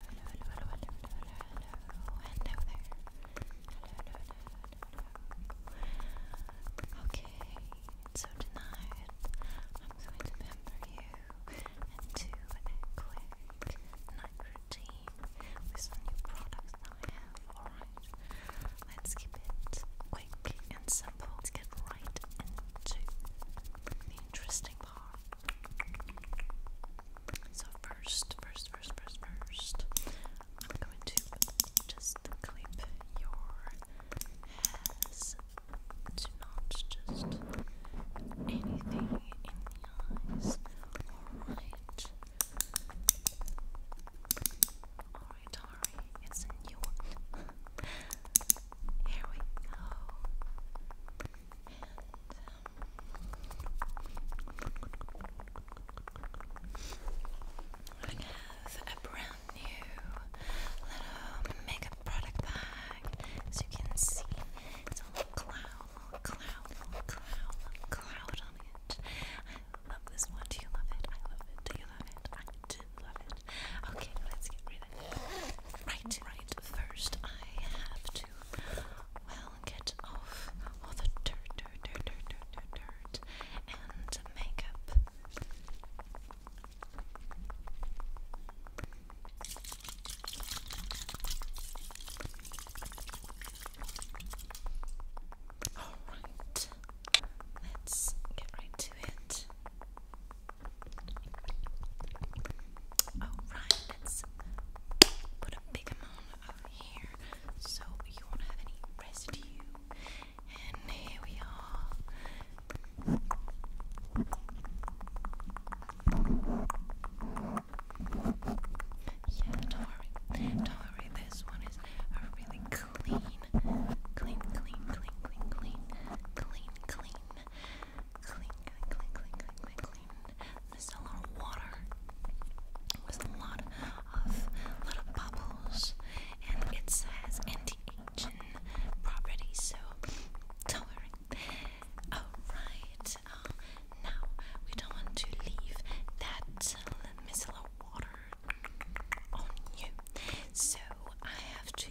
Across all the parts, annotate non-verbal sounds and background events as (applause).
Hello, Okay, so tonight I'm going to pamper you and a quick night routine with some new products that I have. Alright, let's keep it quick and simple. let get right into the interesting part. So first, first, first, first, first, I'm going to just clip your hairs to not just anything in the eyes. Alright. Alright, Ari, it's a new one. (laughs) Here we go. I have a brand new little makeup product bag. As you can see, it's a little cloud, cloud, cloud, cloud on it. I love this one. Do you love it? I love it. Do you love it? I do love it. Okay, let's get rid right, right, first I have to, well, get off all the dirt, dirt, dirt, dirt, dirt, dirt, dirt and makeup. Alright, let's get right to it. Alright, let's put a big amount over here so you won't have any residue. And here we are. Yeah, don't worry. Don't worry, this one is a really clean, clean, clean, clean, clean, clean, clean, clean, Clean, clean, clean, clean, clean, clean, clean. water with a lot of little bubbles, and it says anti-aging properties, so don't worry. Alright, um, now we don't want to leave that uh, water on you so I have to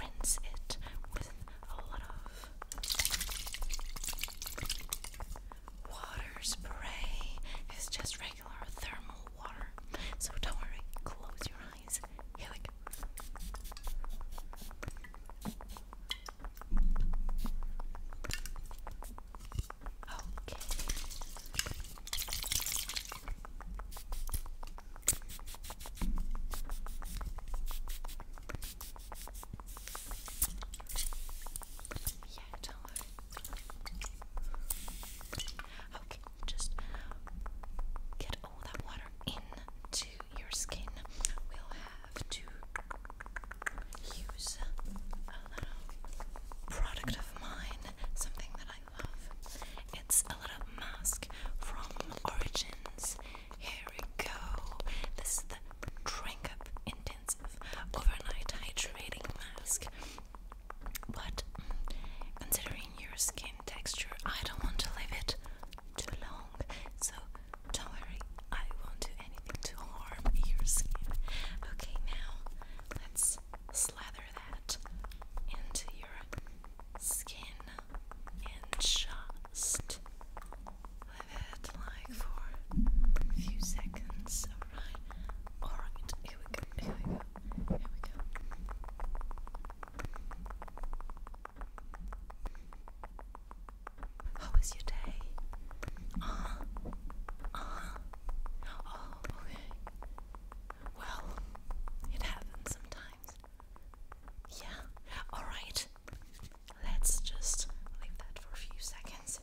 rinse it with a lot of water spray. It's just regular thermal water, so don't worry, close your eyes. Okay. Yeah, don't worry. Okay, just get all that water into your skin. We'll have to use a little product of mine, something that it's a little mask from Origins. Here we go. This is the Drink Up Intensive Overnight Hydrating Mask. But mm, considering your skin texture, I don't want to leave it too long. So don't worry, I won't do anything to harm your skin. Okay, now let's slather that into your skin and just leave it like for a few seconds. Alright, alright, here we go, here we go, here we go. How was your day? Uh huh. Uh-huh. Oh, okay. Well, it happens sometimes. Yeah, alright. Let's just leave that for a few seconds.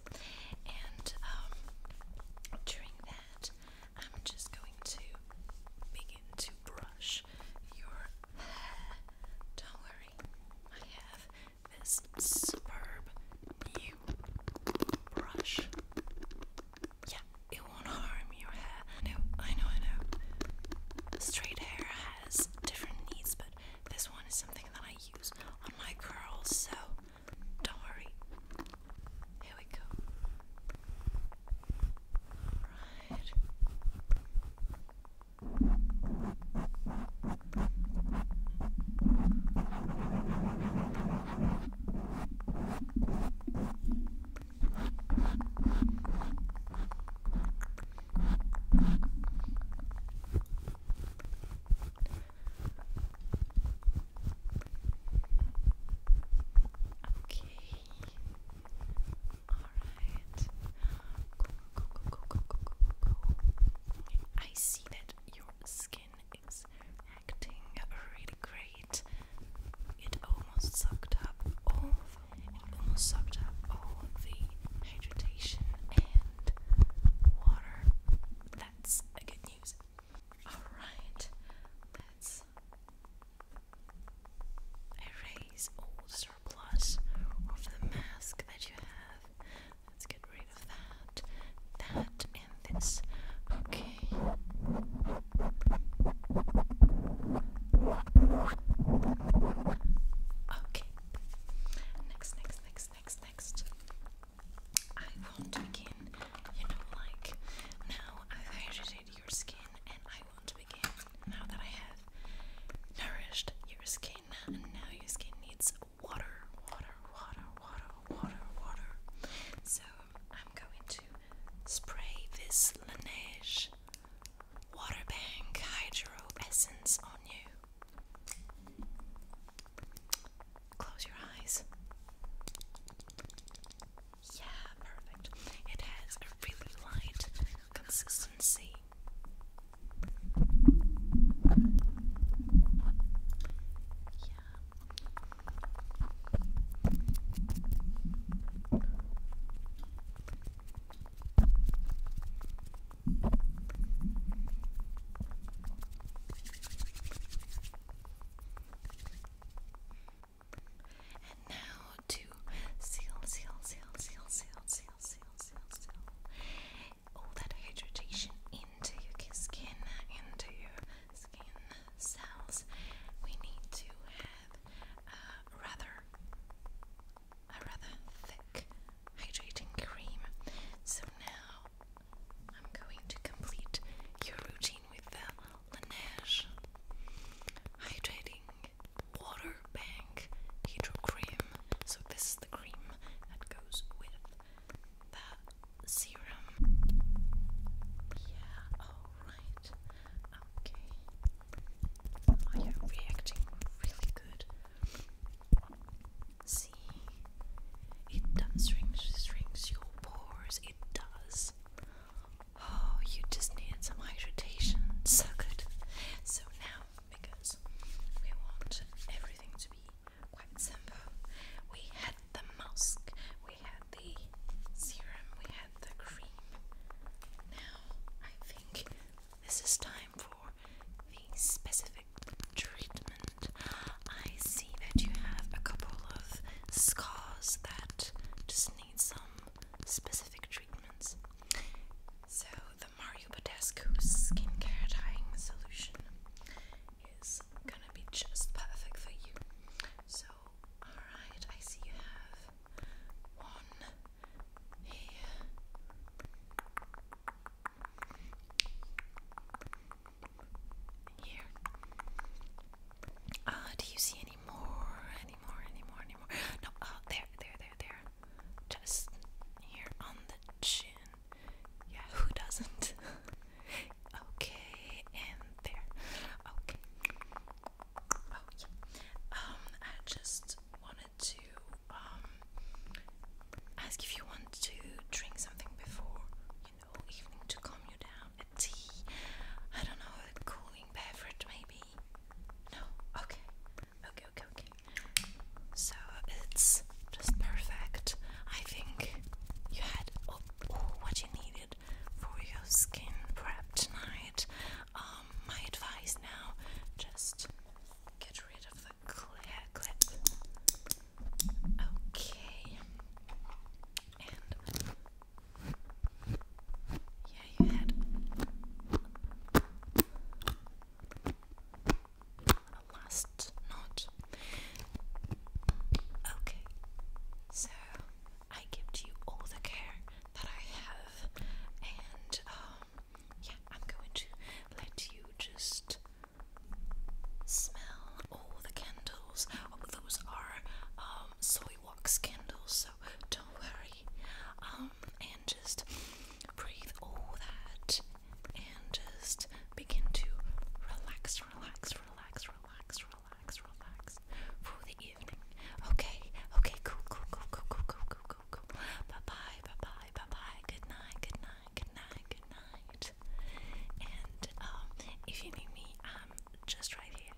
And um, during that, I'm just going to begin to brush your hair. Don't worry, I have this superb new brush. Yeah, it won't harm your hair. No, I know, I know. Straight hair has different needs, but this one is something that I use on my curls, so don't worry. Here we go. Alright. Alright. Go, go, go, go, go, go, go, go. I see that your skin skin acting really great. It almost sucked up all it almost sucked up all the hydration and water. That's a good news. Alright, let's erase all surplus of the mask that you have. Let's get rid of that, that, and this. Okay. Okay. Next, next, next, next, next. I want to begin, you know, like now I've irritated your skin, and I want to begin now that I have nourished your skin, and now your skin needs water, water, water, water, water, water. So I'm going to spray this Laneige Water Bank Hydro Essence on you. Close your eyes. Yeah, perfect. It has a really light consistency. And now to seal, seal, seal, seal, seal, seal, seal, seal, seal all that hydration into your skin, into your skin cells. We need to have a rather, a rather thick hydrating cream. So now I'm going to complete your routine with the Laneige hydrating water bank hydro cream. So this is the cream that goes with the serum. Yeah, alright. Okay. Oh, Are reacting really good? See, it does ring, rings your pores. It does. Oh, you just need some hydration. So good. So now because we want everything to be quite simple. We had the mask, we had the serum, we had the cream. Now I think this is time for the specific treatment. I see that you have a couple of scars that just need some specific treatments. So Mario Badescu skincare dyeing solution is gonna be just perfect for you. So, alright, I see you have one here. Here. Uh, do you see any more? Any more? Any more? Any more? No. Oh, there, there, there, there just here on the chin. Yeah, who doesn't? (laughs) okay, and there. Okay. Oh Um, I just wanted to um ask if you want to drink something before you know evening to calm you down. A tea. I don't know, a cooling beverage maybe. No. Okay. Okay, okay, okay. So it's just perfect. I think you had all, what you needed for your skin prep tonight. Um, my advice now just get rid of the clear clip. Okay. Yeah, you had a last note. Okay, so I give to you all the care that I have, and yeah, I'm going to let you just smell all the candles. Oh, those are um, soy wax candles, so don't worry body, um, and just breathe all that, and just begin to relax, relax, relax, relax, relax, relax for the evening. Okay, okay, cool, cool, cool, cool, cool, cool, cool, cool, cool. Bye, bye, bye, bye, bye, bye. Good night, good night, good night, good night. And um, if you need me, I'm just right here.